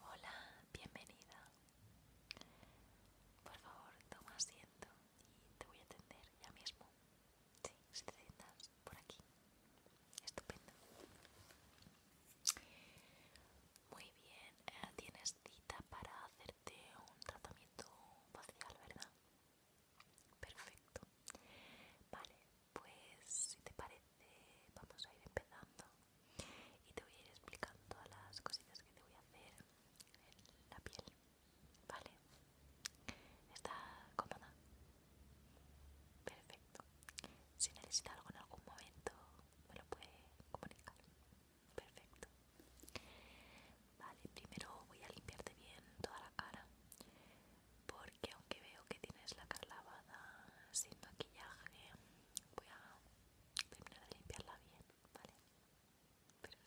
Hola, bienvenida. Por favor, toma asiento y te voy a atender ya mismo. Sí, si te sientas por aquí. Estupendo. Muy bien, eh, tienes cita para hacerte un tratamiento facial, ¿verdad? Perfecto. Vale, pues si te parece vamos a ir empezando y te voy a ir explicando todas las cositas que te voy a hacer en la piel, ¿vale? ¿Está cómoda? Perfecto. Si necesita algo en algún momento me lo puede comunicar. Perfecto. Vale, primero voy a limpiarte bien toda la cara porque aunque veo que tienes la cara lavada sin maquillaje voy a terminar de limpiarla bien, ¿vale? Perfecto.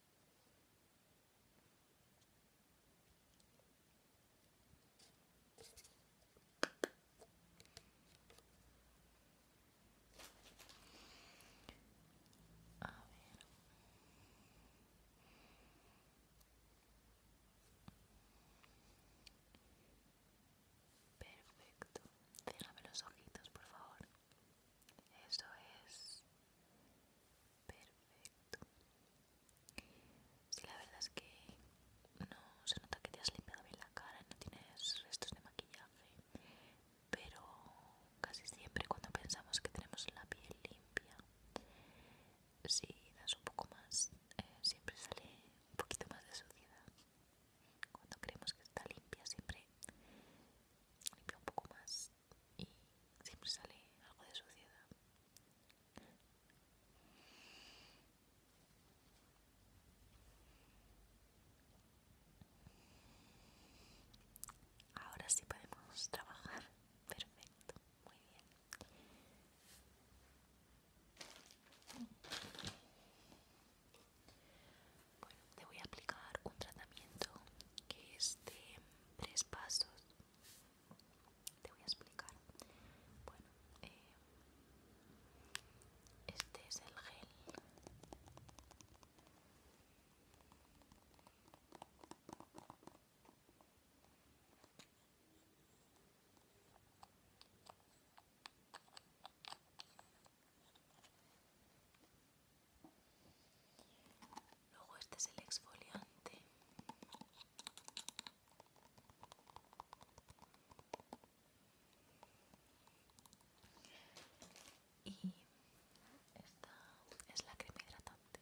Perfecto. Cierrame los ojitos, por favor. Eso es perfecto sí, la verdad es que no se nota que te has limpiado bien la cara no tienes restos de maquillaje pero casi siempre cuando pensamos que tenemos la piel limpia si das un poco más eh, siempre sale un poquito más de suciedad cuando creemos que está limpia siempre limpia un poco más y siempre sale algo de suciedad. Ahora sí podemos trabajar. Perfecto, muy bien. Bueno, te voy a aplicar un tratamiento que es de tres pasos te voy a explicar bueno eh, este es el gel Luego este es el exfoliante. Y esta es la crema hidratante.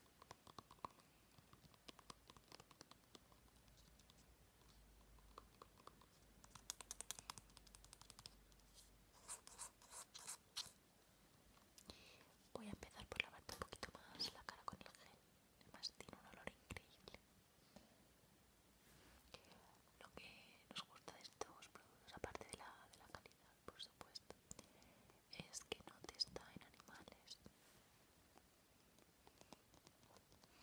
Voy a empezar por lavarte un poquito más la cara con el gel. Además tiene un olor increíble. Lo que nos gusta de estos productos, aparte de la, de la calidad, por supuesto, es que no te está en animales.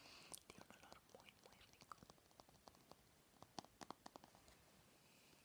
Tiene un olor muy, muy rico.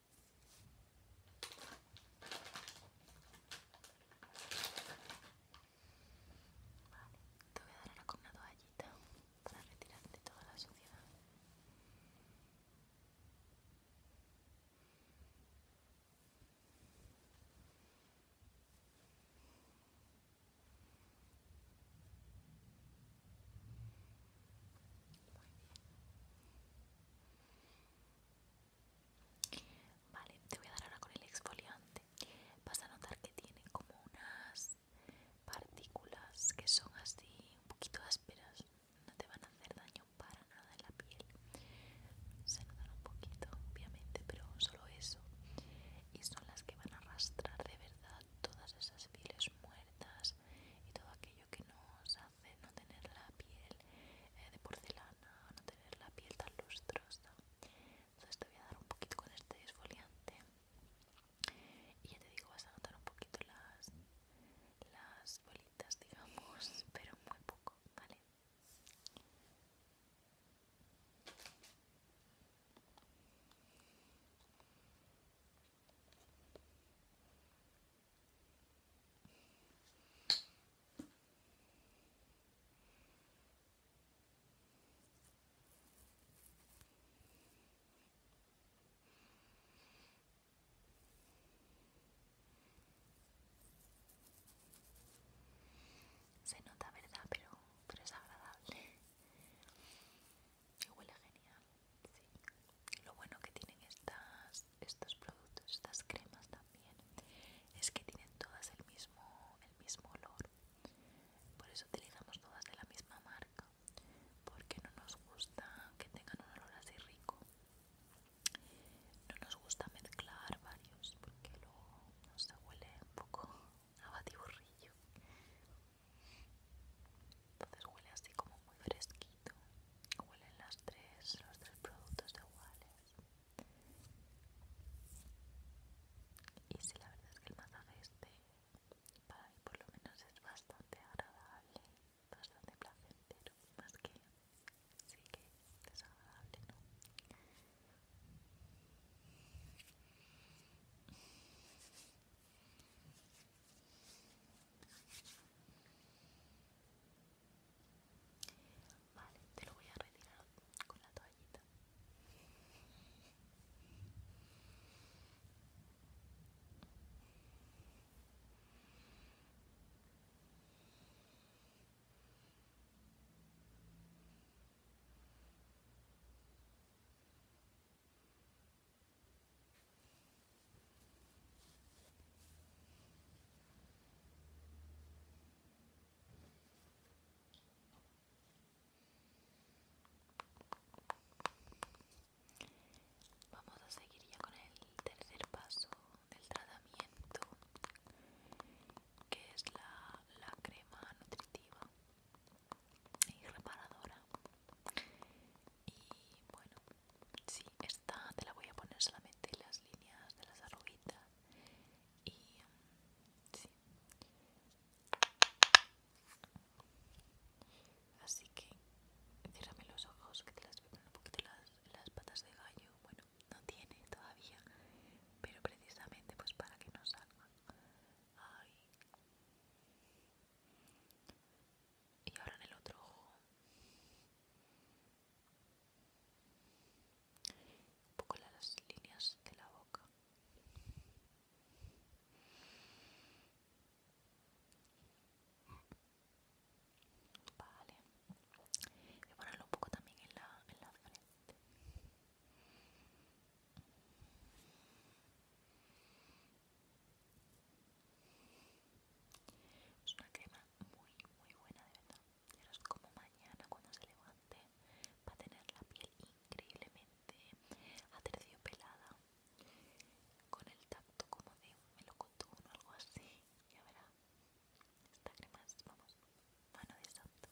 Vale, te voy a dar ahora con una toallita para retirarte toda la suciedad. Vale, te voy a dar ahora con el exfoliante. Vas a notar que tiene como unas partículas que son así un poquito ásperas. No te van a hacer daño para nada en la piel. Se notan un poquito, obviamente, pero solo eso. Y son las que van a arrastrar de verdad todas esas pieles muertas y todo aquello que no no tener la piel eh, de porcelana, no tener la piel tan lustrosa. Entonces te voy a dar un poquito de este esfoliante y ya te digo, vas a notar un poquito las, bolitas, digamos, pero muy poco, ¿vale? Se nota, ¿verdad? Pero, pero es agradable. Y huele genial. Sí. Lo bueno que tienen estas estos productos, estas cremas también, es que tienen todas el mismo, el mismo olor. Por eso utilizamos todas de la misma marca, porque no nos gusta que tengan un olor así rico. No nos gusta mezclar varios, porque luego no huele un poco a batiburrillo. Entonces huele así como muy fresquito. Huelen las tres, los tres productos iguales. Y sí, la verdad es que el masaje este, para mí por lo menos, es bastante agradable, bastante placentero, más que sí que desagradable, ¿no? Vale, te lo voy a retirar con la toallita. Vamos a seguir ya con el tercer paso del tratamiento, que es la, crema nutritiva y reparadora y bueno sí esta te la voy a poner solamente las líneas de las arruguitas y mm, sí así que ciérrame los ojos que te las voy un poquito las, las patas de gallo bueno no tiene todavía pero precisamente pues para que no salga. y ahora en el otro ojo un poco las líneas de la boca vale y ponerlo un poco también en la, en la frente es una muy muy buena de verdad ya no es como mañana cuando se levante va a tener la piel increíblemente aterciopelada con el tacto como de un melocotón o algo así ya verá esta crema vamos mano de santo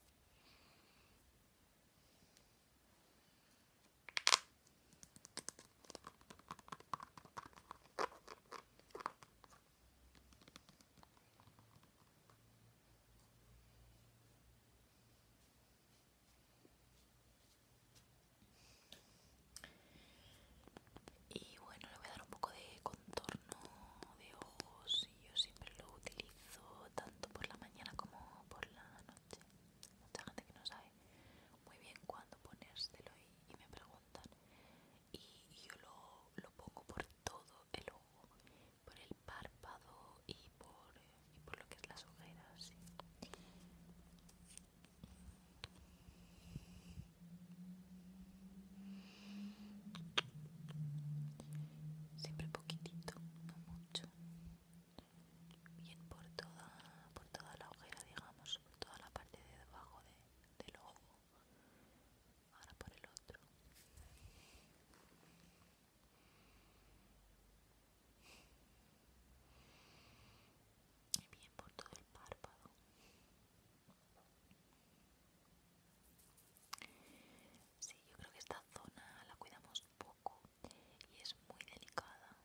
y bueno, le voy a dar un poco de contorno de ojos y yo siempre lo utilizo tanto por la mañana como por la noche. Mucha gente que no sabe muy bien cuándo ponérselo y, y me preguntan y yo lo, pongo por todo el ojo, por el párpado y por, lo que es las ojeras. Siempre poquitito, no mucho. Bien por toda, por toda la ojera, digamos, por toda la parte de debajo de, del ojo ahora por el otro y bien por todo el párpado Sí, yo creo que esta zona la cuidamos poco y es muy delicada.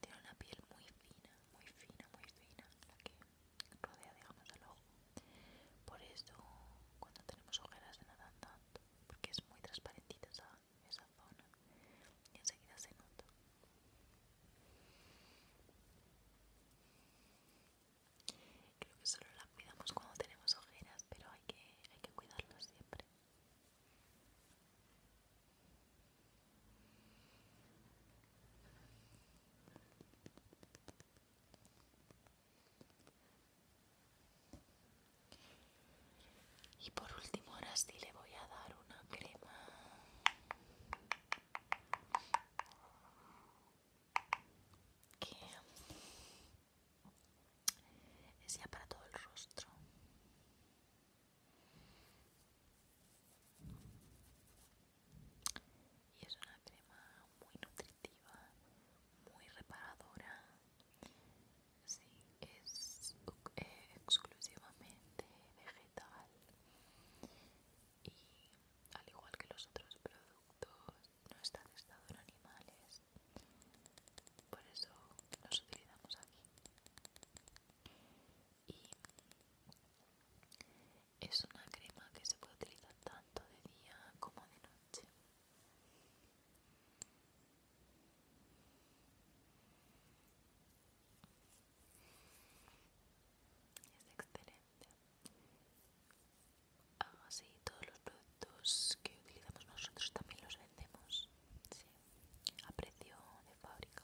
Tiene una piel muy fina, muy fina, muy fina. La que rodea digamos el ojo por eso cuando tenemos ojeras se notan tanto porque es muy transparentita esa, esa zona y enseguida se nota creo que solo la cuidamos cuando tenemos ojeras pero hay que, hay que cuidarlas siempre y por último, ahora sí le voy a dar una crema. Que es ya para todo el rostro y es una crema muy nutritiva, muy reparadora. Sí, es eh, exclusivamente vegetal y al igual que los otros productos no está testado en animales, por eso los utilizamos aquí. Es una crema que se puede utilizar tanto de día como de noche. Es excelente. Así ah, todos los productos que utilizamos nosotros también los vendemos a precio de fábrica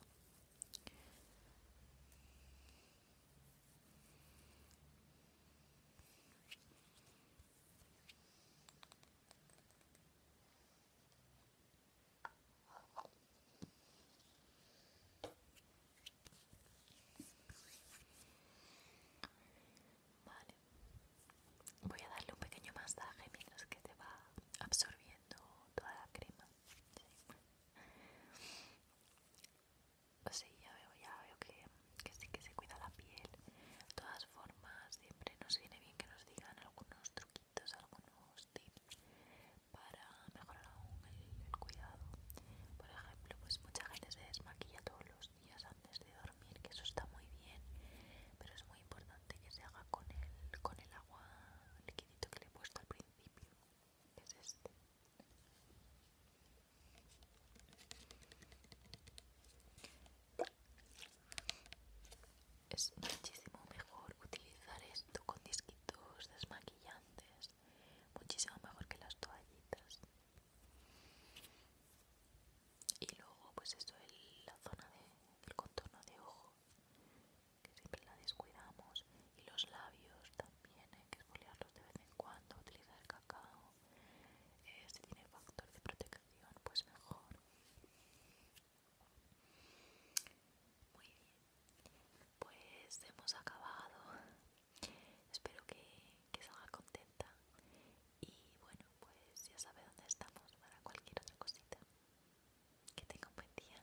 voy a darle un pequeño masaje mientras que te va absorbiendo toda la crema. Pues sí, ya veo, ya veo que, que sí que se cuida la piel. De todas formas, siempre nos viene bien que nos digan algunos truquitos, algunos tips para mejorar aún el, cuidado. Por ejemplo, pues mucha gente se desmaquilla todos los días antes de dormir, que eso está muy bien, pero es muy importante que se haga con el, agua líquidito que le he puesto al principio es este. es muchísimo mejor utilizar esto con disquitos desmaquillantes muchísimo mejor que las toallitas y luego pues esto es la zona de, del contorno de ojo que siempre la descuidamos y los labios también hay eh, que esfoliarlos de vez en cuando utilizar cacao eh, si tiene factor de protección pues mejor muy bien pues hemos acabado espero que, que salga contenta y bueno pues ya sabe dónde estamos para cualquier otra cosita que tenga un buen día